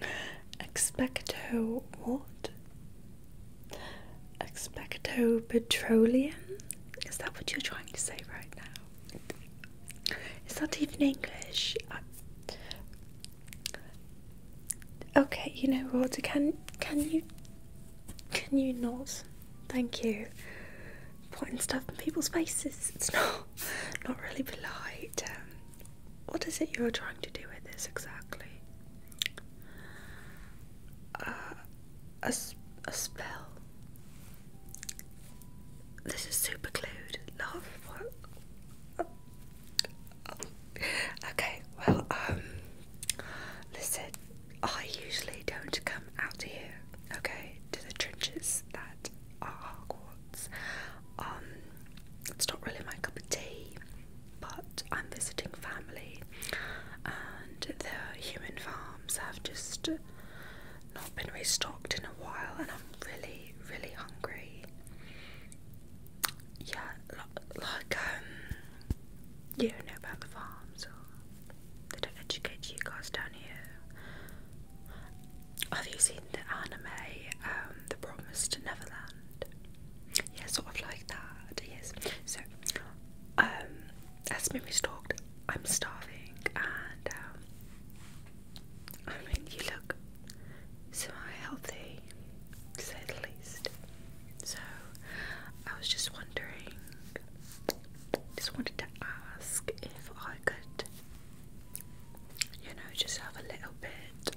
Expecto what? Expecto petroleum? Is that what you're trying to say right now? Is that even English? Okay, you know what? Can can you can you not? Thank you. Pointing stuff in people's faces. It's not not really polite. Um, what is it you're trying to do with this exactly? Uh, a, a spell. This is super glued. Love. Okay, well, um, listen, I usually don't come out here, okay, to the trenches. That had um, it's not really my cup of tea, but I'm visiting family, and the human farms have just not been restocked in a while, and I'm really, really hungry. Yeah, like, um, you know about the farms, they don't educate you guys down here. Have you seen the anime, um, The Promised Neverland? Yeah, sort of like that, yes. So, um, as Mimi's talked, I'm starving and, um, I mean, you look semi-healthy, to say the least. So, I was just wondering just wanted to ask if I could, you know, just have a little bit,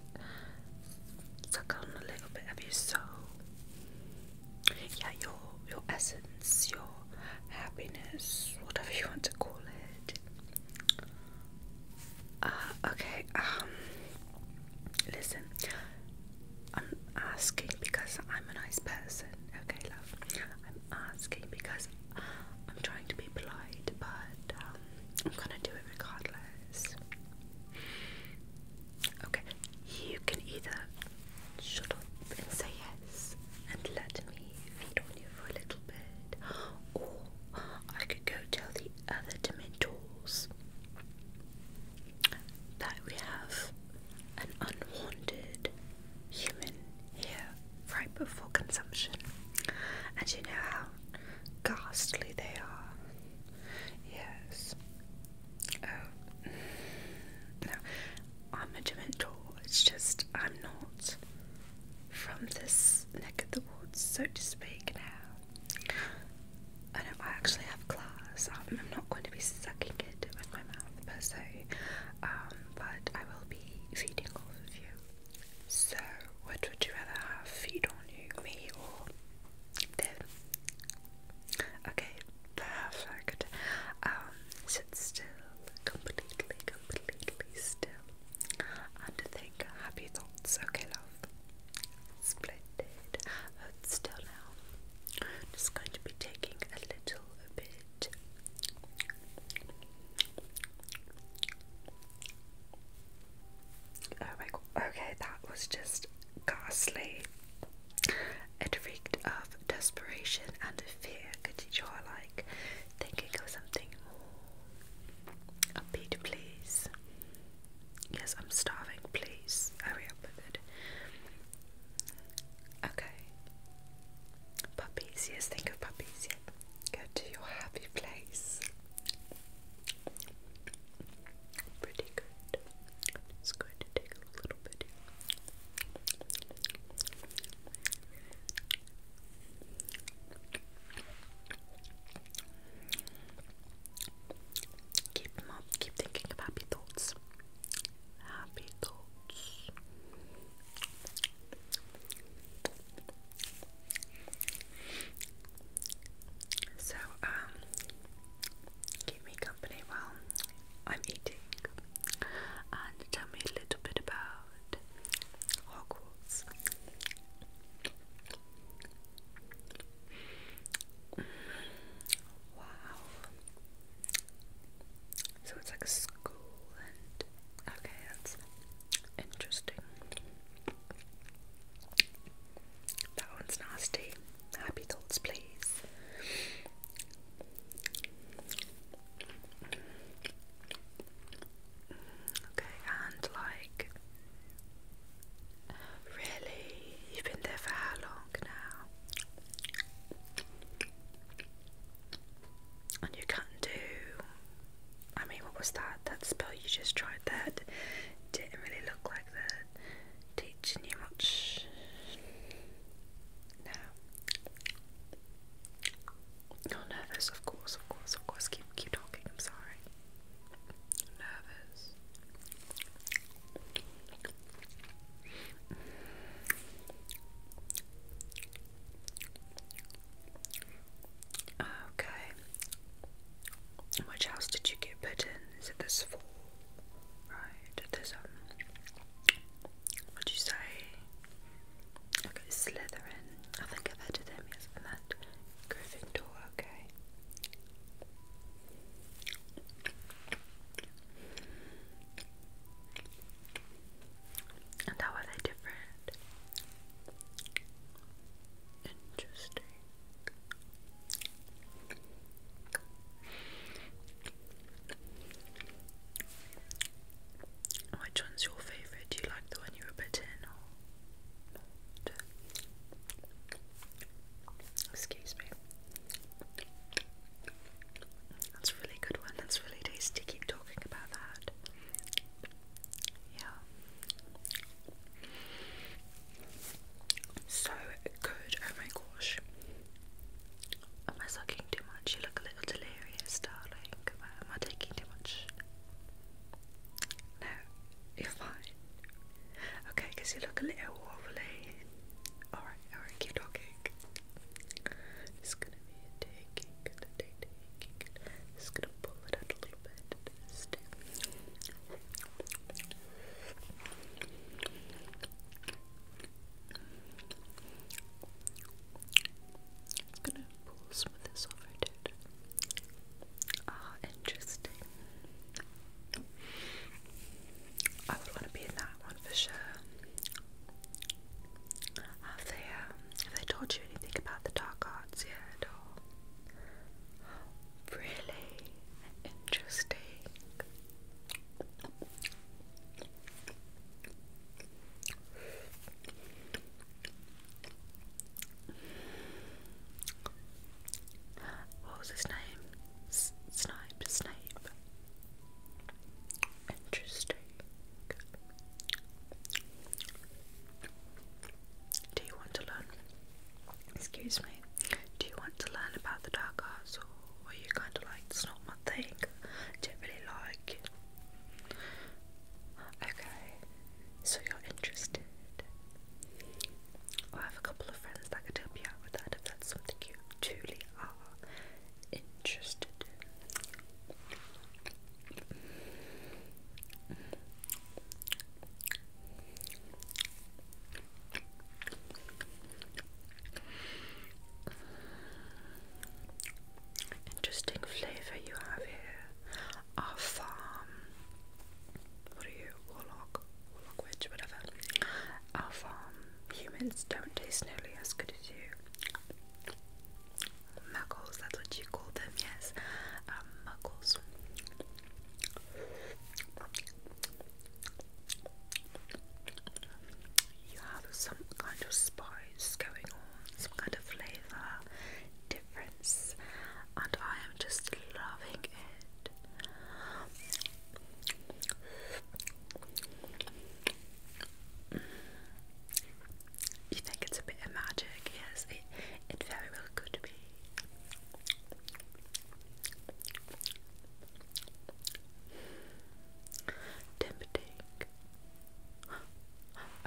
suck on a little bit of your soul. Yeah, your your essence, your happiness, whatever you want to call it. Uh, okay. Um. Listen, I'm asking because I'm a nice person. Okay, love asking because I'm trying to be polite, but um, I'm gonna do it regardless. Okay, you can either shut up and say yes and let me feed on you for a little bit, or I could go tell the other Dementors that we have an unwanted human here right before consumption. And you know how ghastly they are. Yes. Oh. No, I'm a Dementor. It's just I'm not from this neck of the woods, so to speak, now. I know I actually have class. Um, I'm not going to be sucking it with my mouth per se, um, but I will be feeding off of you. So, what would you rather have feed on you, me or them? Okay, perfect. Um, sit still, completely, completely still. And think happy thoughts. Okay, love. Splendid. still now. Just going to be taking a little bit Oh my god, okay, that was just ghastly. It reeked of desperation and fear. Could you try, like, thinking of something more upbeat, please? Yes, I'm starving, please. Hurry up with it. Okay, Puppies, yes, think of puppies, yeah. Go to your happy place. Pretty good. It's going take a little bit. Keep them up, keep thinking of happy thoughts. Happy thoughts. So, um, keep me company while I'm eating and tell me a little bit about Hogwarts. Wow. So it's like a school and okay, that's interesting. That one's nasty. Happy thoughts, please. Okay, and like, really? You've been there for how long now? and you can't do. I mean, what was that? That spell you just tried that didn't really look like that. Teaching you much. No. You're nervous, of course, of course, of course. Keep, keep talking. I'm sorry. Nervous. Okay. Which house did you get put in? Is it this fall? Right. There's um. What'd you say? Okay, Slytherin. I think I've heard of them. Yes, and that Gryffindor. Okay. And how are they different? Interesting. Which one's your favourite? Do you like the one you were bitten or Excuse me. That's a really good one. That's really tasty. Keep talking about that. Yeah. So good. Oh my gosh. Am I sucking too much? You look a little delirious, darling. Am I, taking too much? No, you're fine. Okay, you look a little wobbly. Alright, alright, keep talking. Just go gonna be taking, taking, taking. Just gonna pull it out a little bit. it's gonna pull some of this over, dude. Ah, interesting. I would want to be in that one for sure. Have they, um, have they told you anything about the dark arts yet, or really interesting? What was his name? S Snape. Interesting. Do you want to learn? Excuse me. Do you want to learn about the dark arts, or are you kind of like it's not my thing? I don't really like. Okay, so you're interested. I have a couple of friends that could help you out with that if that's something you truly are Interesting flavor you have here. Our farm. What are you? Warlock? Warlock witch, whatever. Our farm. Humans don't taste nearly as good as you muggles, that's what you call them, yes. Um, muggles. You have some kind of spice going on, some kind of flavor difference, and I am just loving it. You think it's a bit of magic? Yes, it, it very well could be.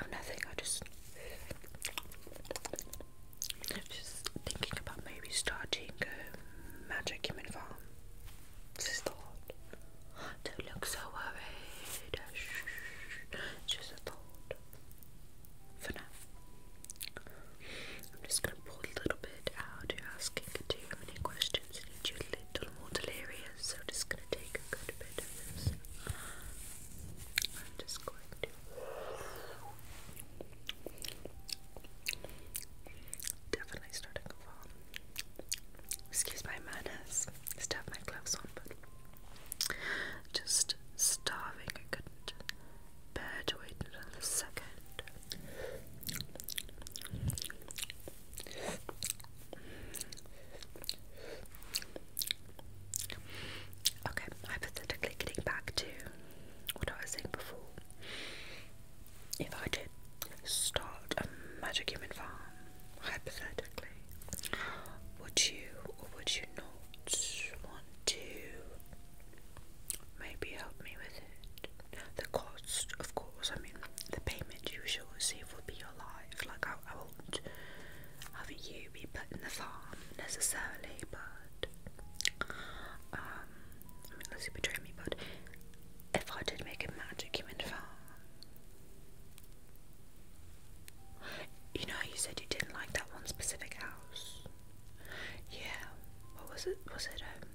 Oh, nothing. I just just thinking about maybe starting a um, magic human farm. This is the thought. Don't look so worried. It's just a thought. For now. I'm just going to pull a little bit out. You're asking too many questions and you a little more delirious, so I'm just going to take a good bit of this. I'm just going to. Definitely starting off on excuse my manners, still have my gloves on, but just starving. I couldn't bear to wait another second. Okay, hypothetically getting back to what I was saying before. If I did start a magic human farm, hypothetically, would you or would you not want to maybe help me with it? The cost, of course, I mean, the payment you shall receive will be your life. Like, I, I won't have you be put in the farm necessarily, but um, I mean, unless you betray me, but if I did make a magic human farm, you know, you said you didn't like that one specific house. Yeah, what was it? Was it um,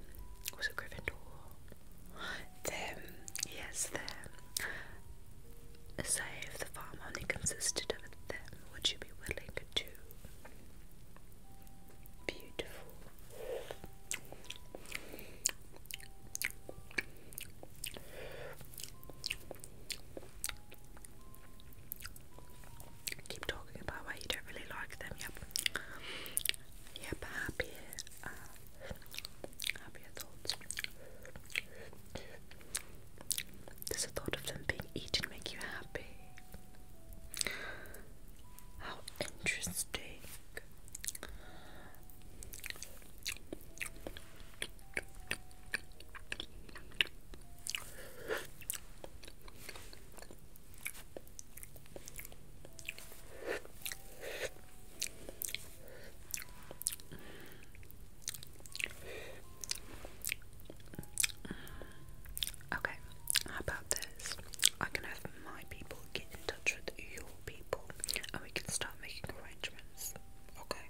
was it Gryffindor? Them, yes, them. Say the farm only consisted of them, would you be willing to? Beautiful. Keep talking about why you don't really like them. Yep. Yep. Happy. Uh, thoughts. Does the thought of them being eaten make you happy? How interesting. Okay, how about this? I can have my people get in touch with your people and we can start making arrangements. Okay.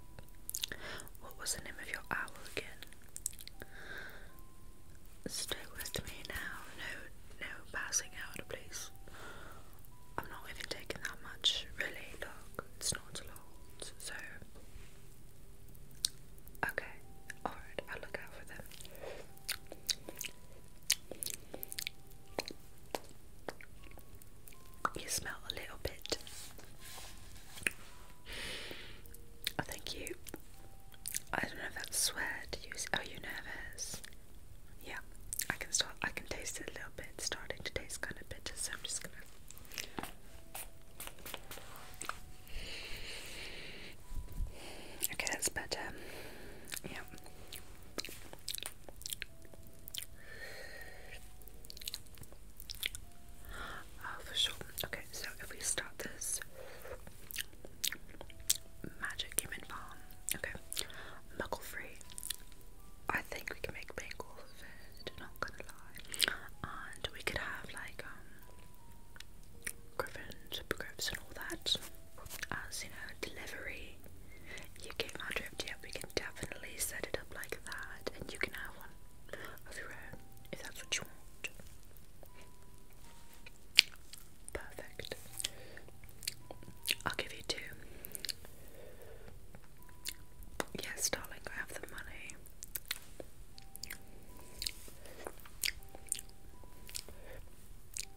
What was the name of your owl again? Stay with me now. No, no passing out, please. I'm not even taking that much, really. Look, it's not a lot. So, okay, alright, I'll look out for them. You smell a little bit. I oh, you. I don't know if that's sweat. are oh, you nervous? Yeah, I can start. I can taste it a little bit. starting to taste kind of bitter, so I'm just gonna. Okay, that's better. Yeah. Oh, for sure. Okay, so if we start this magic human farm, okay, muggle free. I think we can make bagels of it, not gonna lie. And we could have like, um, griffins, griffs, and all that as you know, delivery. You give my drift, yep, we definitely set it up like that, and you can have one of your own if that's what you want. Perfect. I'll give you two. Yes, darling, I have the money.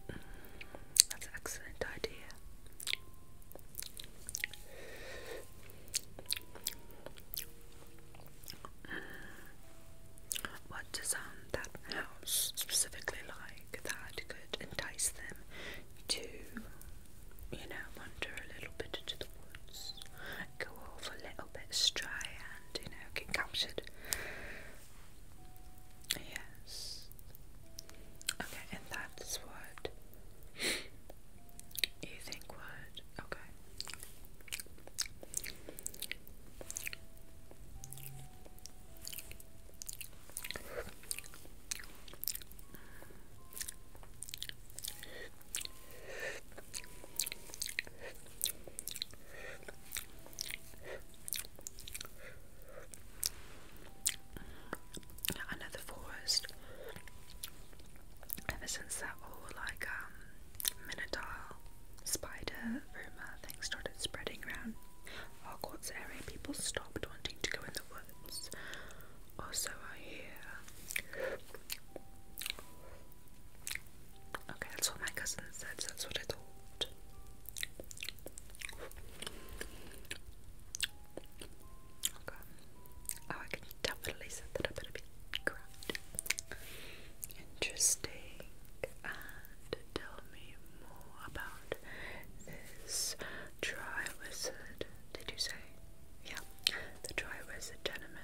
Mm, that's an excellent idea. What does um, that house specifically like that could entice them to, you know, wander a little bit into the woods, go off a little bit astray, and you know, get captured? Yes. Okay, and that's what you think would okay another forest. Ever since that whole like um spider rumor thing started spreading around Hogwarts area, people stopped wanting to go in the woods. Also, I hear. Okay, that's what my cousin said. that's what I thought. Okay. Oh, I can definitely set that up in a bit. Interesting. And tell me more about this dry wizard. Did you say? Yeah. The dry wizard tenement.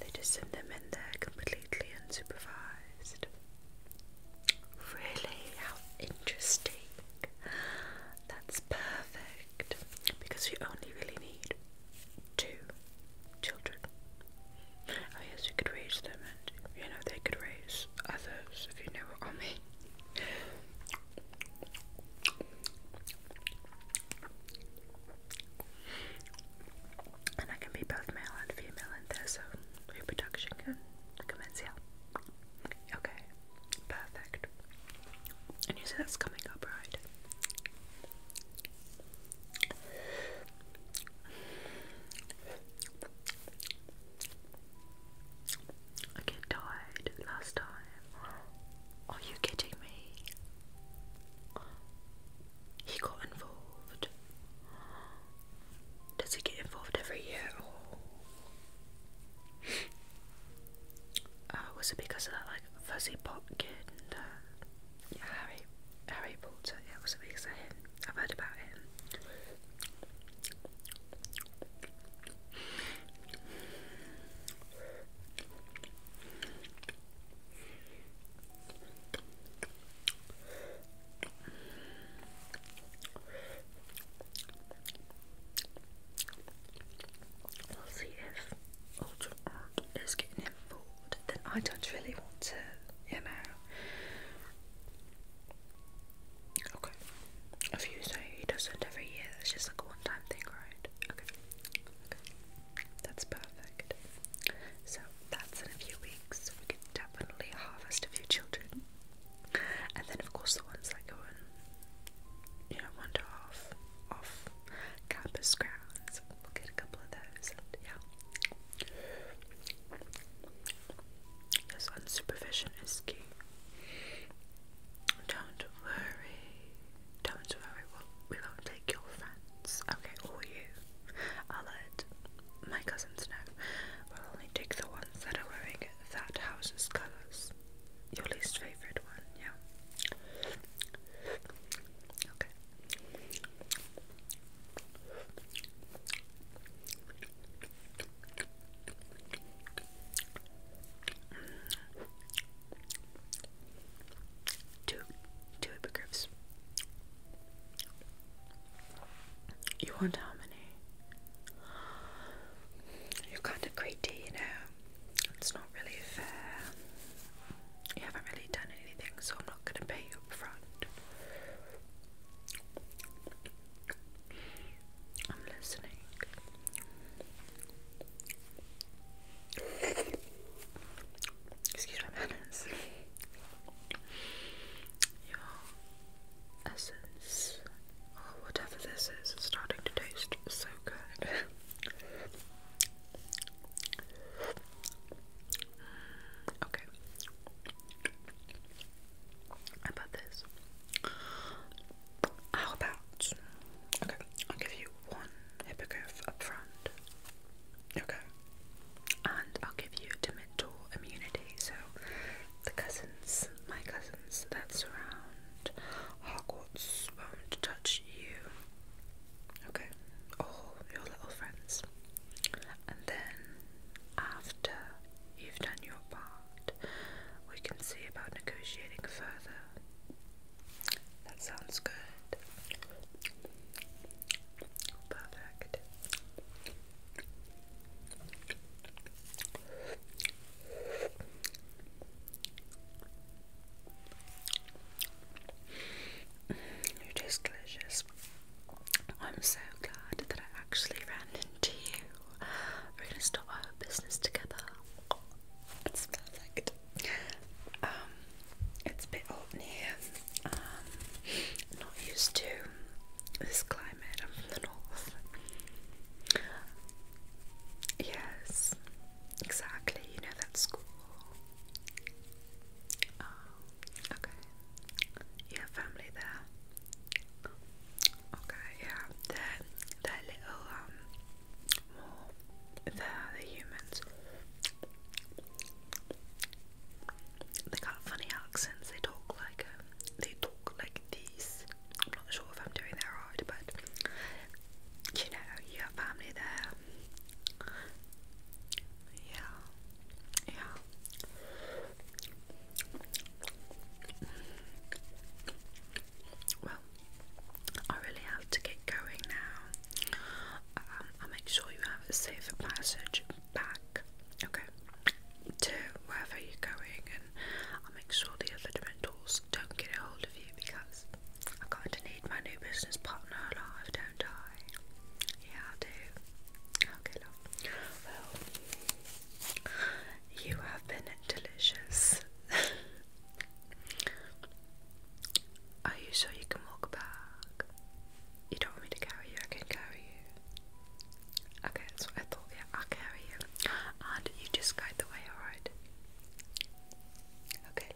They just send them in there completely unsupervised. Really? How interesting. That's perfect because we only really need two children. I guess you could raise them, and you know, they could raise others if you know what I mean. And I can be both male and female in there, so reproduction can commence, yeah. Okay, perfect. And you see that's coming up, right? I get tired last time. Are you kidding me? He got involved. Does he get involved every year? Uh, was it because of that like fuzzy pot kid and uh, Harry Harry Potter? Yeah, was it because of him? I've heard about him. We'll see if Ultra is getting involved. Then I don't really want to, you know. Okay. If you say he doesn't every year, it's just like a one time thing, right? Okay. That's perfect. So that's in a few weeks. We could definitely harvest a few children. And then of course the ones that go in, you know, wander off off campus grounds. We'll get a couple of those. yeah, this unsupervision is key. Don't worry. Don't worry. We'll, we will not take your friends. Okay, or you. I'll let my cousins know. We'll only take the ones that are wearing that house's colours. Your least favorite one, yeah. Okay. Mm. Two, two hippogriffs. You want how Germany. You're kind of greedy, you know. It's not really fair. You haven't really done anything, so I'm not going to pay you up I'm listening. Excuse my manners. essence or oh, whatever this is is starting to taste so good. Mm, okay. about this? How about okay, I'll give you one hippogriff up Okay. And I'll give you Dementor immunity, so the cousins, my cousins that surround Hogwarts won't touch you. Okay, all your little friends. And then, after you've done your part, we can see about negotiating further. That sounds good. Perfect. You're delicious. I'm so glad that I actually ran into you. We're gonna start our business together. It's perfect. Um, it's a bit open here. Um, not used to this climate climate. from the north. Yes, exactly. You know that school. Oh, okay. You have family there. Okay, yeah. They're, little, um, more. they the humans. They got funny accents. They talk like um, they talk like these. I'm not sure if I'm doing that right, but you know, you have family there. Yeah, yeah. Well, I really have to get going now. Um, I'll make sure you have a safe passage back, okay, to wherever you're going I'll make sure the other dementors don't get a hold of you because I've got to need my new business partner alive, don't I? Yeah, I do. Okay, love. Well, you have been delicious. Are you sure you can walk back? You don't want me to carry you? I can carry you. Okay, that's what I thought. Yeah, I'll carry you. And you just guide the way, alright? Okay,